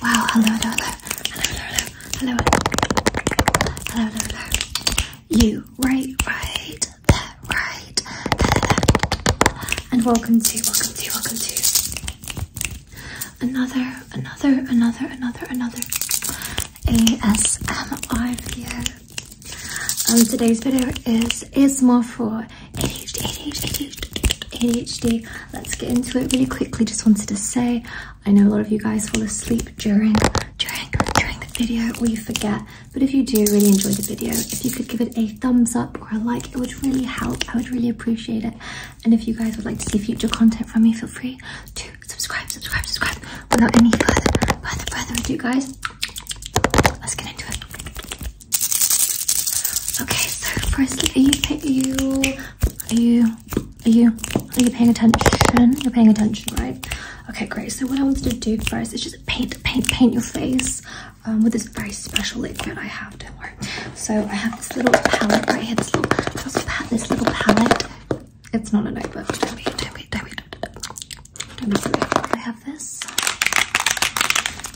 Wow, hello, hello, hello, hello, hello, hello, hello, hello, hello. You, right, right, there, right, And welcome to, welcome to, welcome to another, another, another, another, another ASMR video. Um, today's video is is more for ADHD, ADHD, ADHD. Let's get into it really quickly. Just wanted to say, I know a lot of you guys fall asleep during during during the video or you forget, but if you do really enjoy the video, if you could give it a thumbs up or a like, it would really help. I would really appreciate it. And if you guys would like to see future content from me, feel free to subscribe, subscribe, subscribe. Without any further further further ado, guys, let's get into it. Okay, so firstly, you are you are you, are you, are you paying attention? You're paying attention, right? Okay, great. So what I wanted to do first is just paint, paint, paint your face um, with this very special liquid I have. Don't worry. So I have this little palette right here. This little, this little palette. It's not a notebook. Don't be, don't be, don't I have this.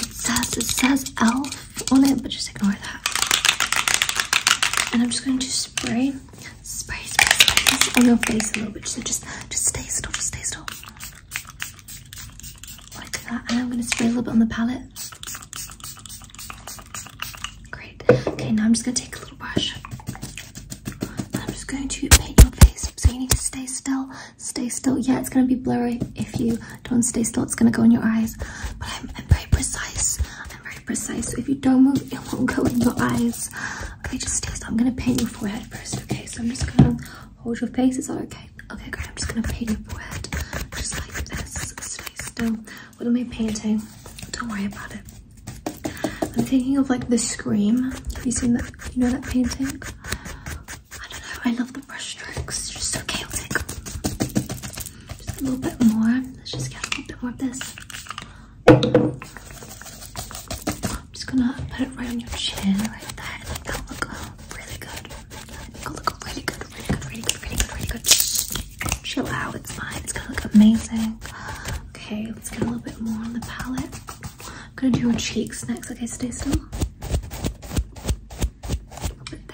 It says, it says Elf on it, but just ignore that. And I'm just going to spray, spray, spray, on your face a little bit. So just, just stay still, just stay still. Like that. And I'm going to spray a little bit on the palette. Great. Okay, now I'm just going to take a little brush. I'm just going to paint your face. So you need to stay still, stay still. Yeah, it's going to be blurry if you don't stay still. It's gonna go in your eyes. But I'm, very precise. I'm very precise. So if you don't move, it won't go in your eyes. Okay, just stay still. I'm gonna paint your forehead first. Okay, so I'm just gonna hold your face. It's that okay? Okay, great. I'm just gonna paint your forehead just like this. Stay still. What am I painting? Don't worry about it. I'm thinking of like the Scream. Have you seen that? You know that painting? I don't know, I love the brush strokes, it's just so chaotic. Just a little bit more, let's just get a little bit more of this. I'm just gonna put it right on your chin, right there, and like that'll look uh, really good. That'll look really good, really good, really good, really good, really good. Chill out, it's fine, it's gonna look amazing. Okay, let's get a little bit more on the palette. I'm gonna do your cheeks next, okay, stay still.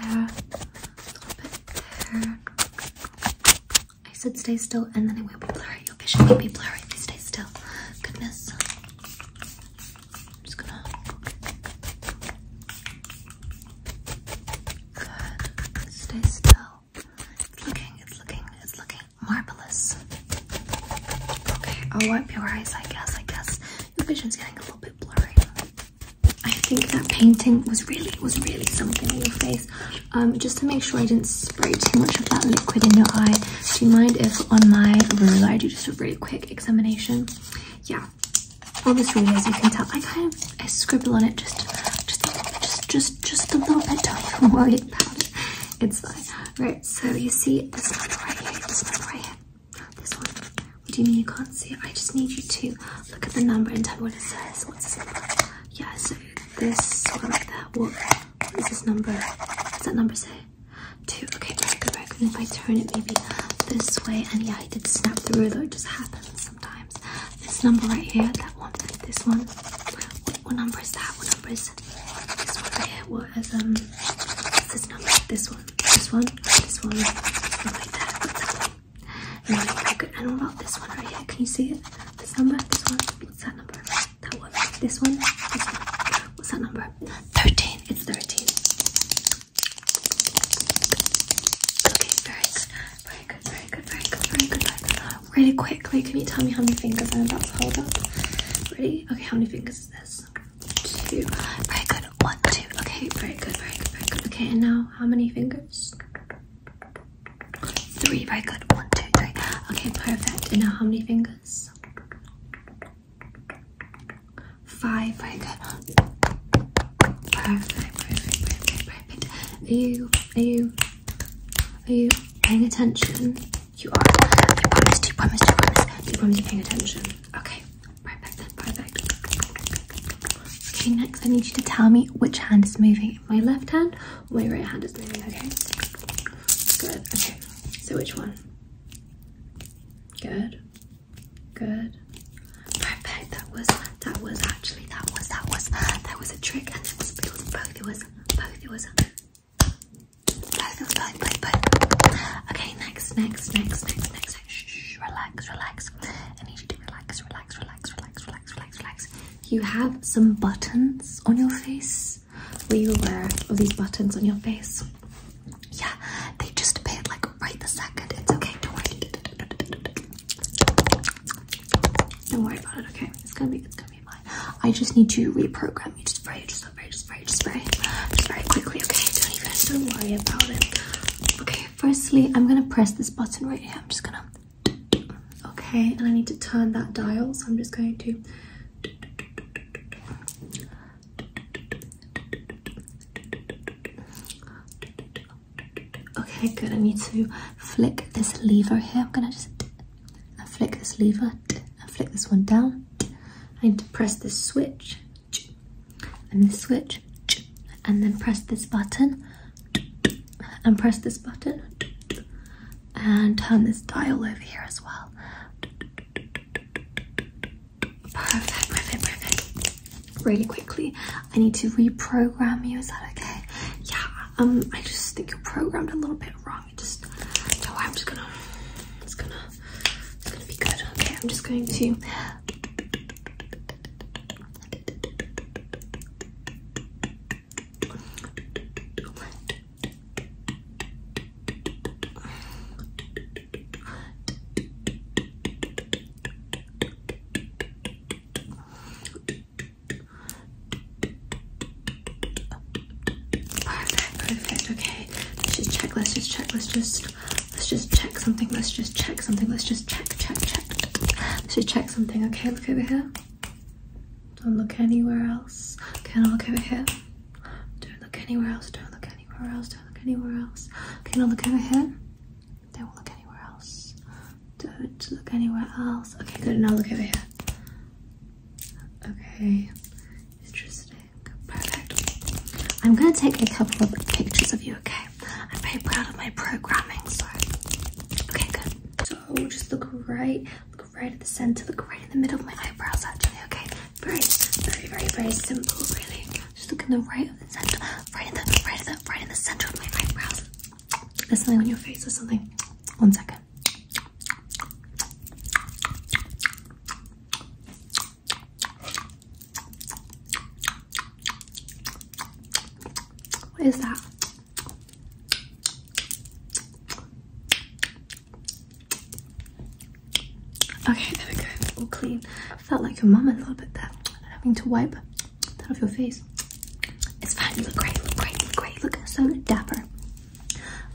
I said stay still and then it will be blurry. Your vision will be blurry if you stay still. Goodness. just gonna. Good. Stay still. It's looking, it's looking, it's looking marvelous. Okay, I'll wipe your eyes, I guess, I guess. Your vision's getting a little bit blurry. I think that painting was really was really something in your face. Um, just to make sure I didn't spray too much of that liquid in your eye. Do you mind if on my ruler I do just a really quick examination? Yeah. on Obviously, as you can tell, I kind of I scribble on it just just just just just a little bit. Don't even worry about it. It's fine. Right. So you see this one right here. This one right here. This one. What do you mean you can't see it? I just need you to look at the number and tell what it says. What's it? Yeah, so this one right there. what is this number? What's that number say? Two. Okay, good, good. if I turn it maybe this way, and yeah, I did snap through, though it just happens sometimes. This number right here, that one, this one. What, number is that? What number is this one here? What, as um this is not like this one, this one, this one, and right there, what's that one? Anyway, I could, and what about this one right here? Can you see it? This number, this one, what's that number? That one, this one, this one, what's that number? 13, it's 13. Okay, very good, very good, very good, very good, very good, very good. Really quickly, can you tell me how many fingers I'm about to hold up? Ready? Okay, how many fingers is this? two. Very good. One, two. Okay, very good, very good, very good. Okay, and now how many fingers? Three. Very good. One, two, three. Okay, perfect. And now how many fingers? Five. Very good. Perfect, perfect, perfect, perfect. Are you, are you, are you paying attention? You are. You promised, you promised, you are paying attention. Okay, perfect, perfect. Okay, next I need you to tell me which hand is moving. My left hand my right hand is moving, okay? Good, okay. So which one? Good, good. Perfect, that was, that was actually, that was, that was, that was a trick and it it was both, it was, both, it was, Spelling, spelling, play, play. Okay, next, next, next, next, next. Shh, shh, relax, relax. I need you to relax, relax, relax, relax, relax, relax, relax. You have some buttons on your face. Were you aware of these buttons on your face? Yeah, they just appeared like right the second. It's okay, don't worry. Don't worry about it, okay? It's gonna be, it's gonna I just need to reprogram you Just spray, just spray, just spray, just spray, just spray quickly. Okay, don't even don't worry about it. Okay, firstly, I'm gonna press this button right here. I'm just gonna. Okay, and I need to turn that dial, so I'm just going to. Okay, good. I need to flick this lever here. I'm gonna just I flick this lever and flick this one down. I need to press this switch and this switch and then press this button and press this button and turn this dial over here as well. Perfect, perfect, perfect. Really quickly, I need to reprogram you. Is that okay? Yeah, um, I just think you're programmed a little bit wrong wrong. I'm just gonna it's gonna it's gonna be good. Okay, I'm just going to Perfect, perfect. Okay, let's just check. Let's just check. Let's just let's just check something. Let's just check something. Let's just check, check, check. Let's just check something. Okay, look over here. Don't look anywhere else. Okay, now look over here. Don't look anywhere else. Don't look anywhere else. Don't look anywhere else. Okay, now look over here. Don't look anywhere else. Don't look anywhere else. Okay, good. Now look over here. Okay, interesting. Perfect. I'm going to take a couple of pictures of you, okay? I'm very proud of my programming, so. Okay, good. So just look right, look right at the center, look right in the middle of my eyebrows, actually, okay? Very, very, very, very simple, really. Just look in the right of the center, right in the, right in the, right in the center of my eyebrows. There's something on your face or something. One second. What is that? Okay, there we go. All clean. Felt like your mum a little bit there. Having to wipe that off your face. It's fine. You look great. Look great. Look great. Look so dapper.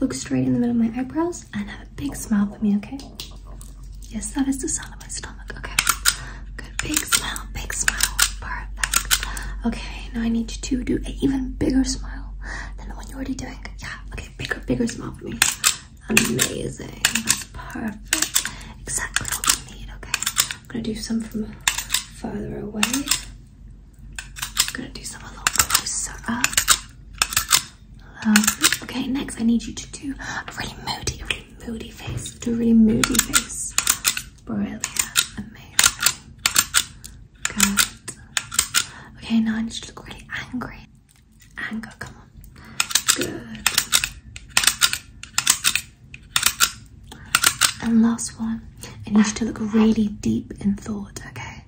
Look straight in the middle of my eyebrows and have a big smile for me, okay? Yes, that is the sound of my stomach. Okay. Good. Big smile. Big smile. Perfect. Okay. Now I need you to do an even bigger smile than the one you're already doing. Yeah. Okay. Bigger, bigger smile for me. Amazing. That's perfect. Exactly what I need. Okay. I'm gonna do some from further away. I'm gonna do some a little closer up. Okay, next I need you to do a really moody, really moody face. Do a really moody face. Brilliant. Amazing. Good. Okay, now I need you to look really angry. Anger, come on. Good. And last one, I need you to look really deep in thought, okay?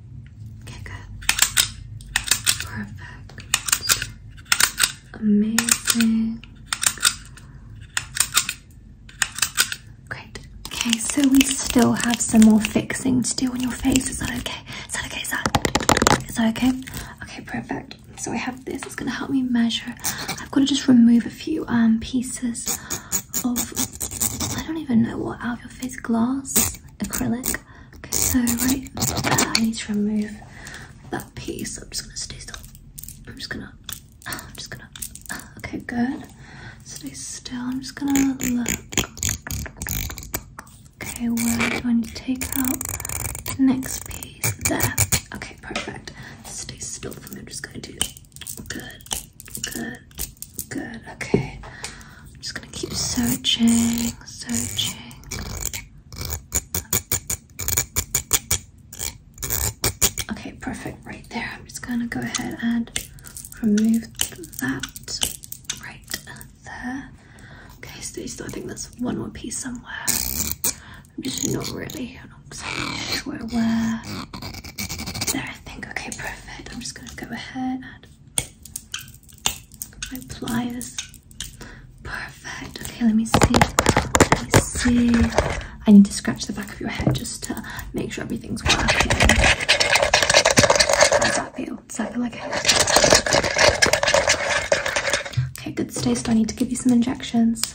Okay, good. Perfect. Amazing. Great. Okay, so we still have some more fixing to do on your face. Is that okay? Is that okay? Is that, is that okay? Okay, perfect. So I have this. It's going to help me measure. I've got to just remove a few um, pieces of oh, I don't even know what out of your face glass acrylic. Okay, so right uh, I need to remove that piece. I'm just gonna stay still. I'm just gonna. I'm just gonna. Okay, good. Stay still. I'm just gonna Okay, we're going to take out next piece? There. Okay, perfect. Stay still for me. I'm just going to do. Good, good, good. Okay. I'm just gonna keep searching, searching. Okay, perfect. Right there. I'm just gonna go ahead and remove that right there. Okay, so I think there's one more piece somewhere. I'm just not really 100% sure where. There, I think. Okay, perfect. I'm just going to go ahead and my pliers. Perfect. Okay, let me see. Let me see. I need to scratch the back of your head just to make sure everything's working. How does that feel? Does that feel like a headache. Okay, good. Stay still. I need to give you some injections.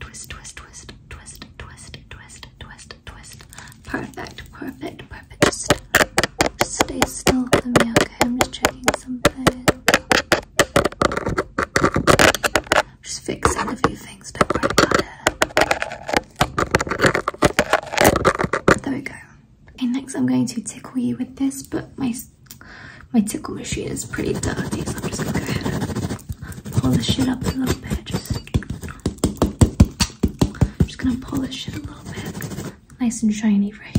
twist, twist, twist, twist, twist, twist, twist, twist. Perfect, perfect, perfect. Just stay still for me, okay? I'm just checking something. Just fixing a few things, don't worry about it. There we go. Okay, next I'm going to tickle you with this, but my my tickle machine is pretty dirty, so I'm just gonna go ahead and polish it up a little bit. Just, I'm just gonna polish it a little bit. Nice and shiny, right?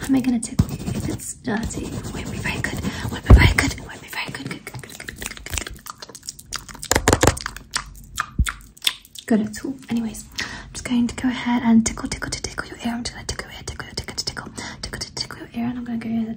How am I gonna tickle you if it's dirty? Would be very good. Would be very good. Would be very good. Good, good, good, good, good, good. Good at all. Anyways, I'm just going to go ahead and tickle, tickle, to tickle your ear. I'm just gonna tickle your ear, tickle, tickle, to tickle, tickle, to tickle your ear, and I'm gonna go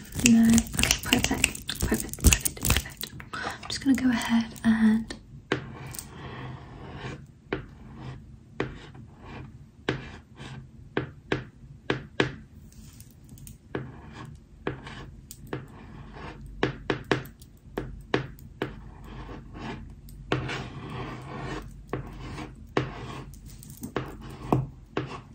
No. perfect. Perfect, perfect, perfect. I'm just gonna go ahead and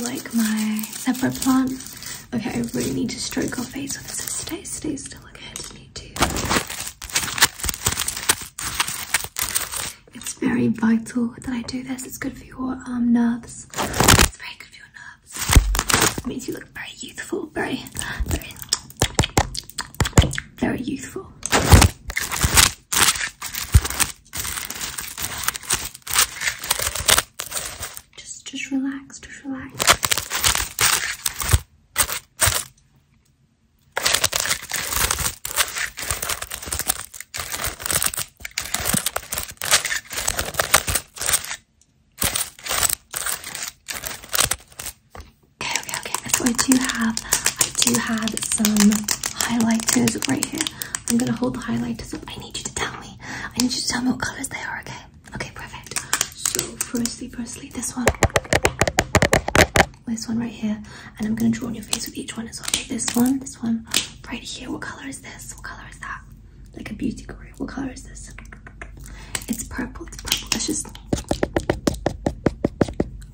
like my separate plant. Okay, I really need to stroke her face with this. Stay, stay still. Okay, I just need to. It's very vital that I do this. It's good for your um, nerves. It's very good for your nerves. It makes you look very youthful, very, very, very youthful. Just, just relax, just relax. Okay, okay, So I do have, I do have some highlighters right here. I'm gonna hold the highlighters up. I need you to tell me. I need you to tell me what colors they are. Okay. Okay, perfect. So firstly, firstly, this one, this one right here and I'm gonna draw on your face with each one as well. Like this one, this one, right here. What color is this? What color is that? Like a beauty guru. What color is this? It's purple. It's purple. That's just.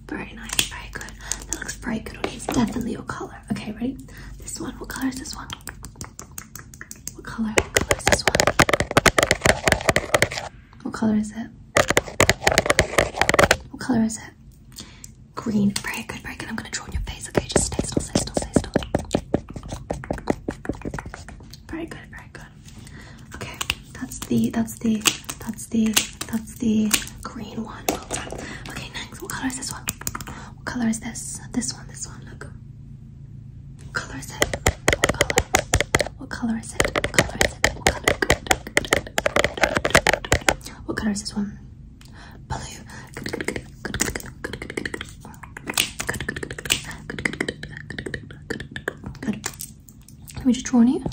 Very nice. Very good. That looks very good. on you. definitely a color. Okay, ready? This one. What color is this one? What color? What color is this one? What color is it? What color is it? green. Very good, very good. I'm gonna draw on your face, okay? Just stay still, stay still, stay still. Very good, very good. Okay, that's the that's the that's the that's the green one. Okay, next. What color is this one? What color is this? This one, this one, look. What color is it? What color? What color is it? What color is this one? Blue. Good. Let just draw on you.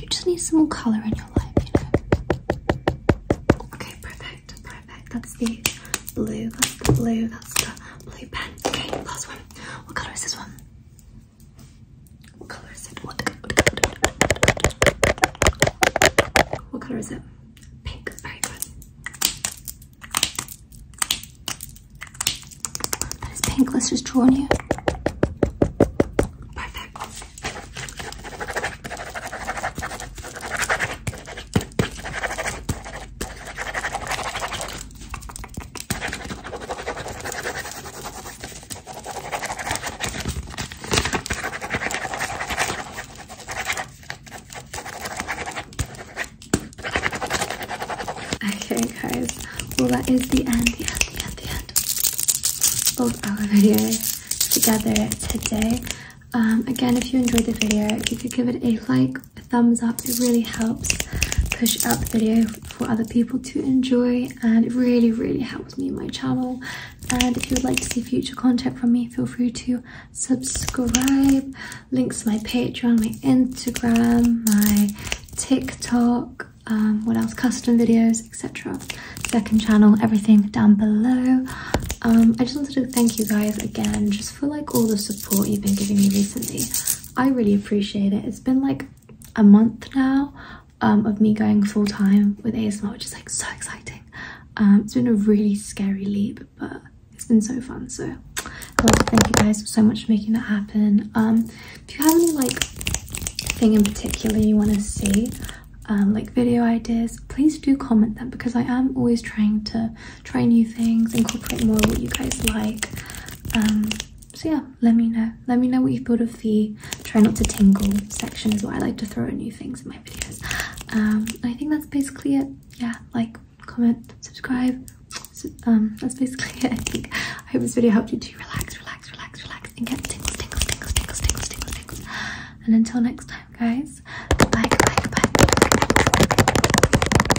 You just need some more colour in your life, you know. Okay, perfect, perfect. That's the blue, that's the blue, that's the blue pen. Okay, last one. What colour is this one? What color is it? What, color is it? Pink. Very good. That is pink. Let's just draw on you. Perfect. Okay, guys. Well, that is the end, the end, the end, the end of our video together today. Um, again, if you enjoyed the video, you could give it a like a thumbs up. It really helps push out the video for other people to enjoy and it really, really helps me and my channel. And if you would like to see future content from me, feel free to subscribe. Links to my Patreon, my Instagram, my TikTok, um, what else, custom videos, etc. Second channel, everything down below. Um, I just wanted to thank you guys again just for like all the support you've been giving me recently. I really appreciate it. It's been like a month now um, of me going full time with ASMR, which is like so exciting. Um, it's been a really scary leap, but it's been so fun. So I want to thank you guys so much for making that happen. if um, you have any like thing in particular you want to see, like video ideas, please do comment them because I am always trying to try new things, incorporate more what you guys like. Um, so yeah, let me know. Let me know what you thought of the try not to tingle section is what I like to throw new things in my videos. Um, I think that's basically it. Yeah, like, comment, subscribe. So, um, that's basically it. I think I hope this video helped you to relax, relax, relax, relax, and get tingles, tingles, tingles, tingles, tingles, tingles, tingles. And until next time, guys. Goodbye, goodbye, goodbye.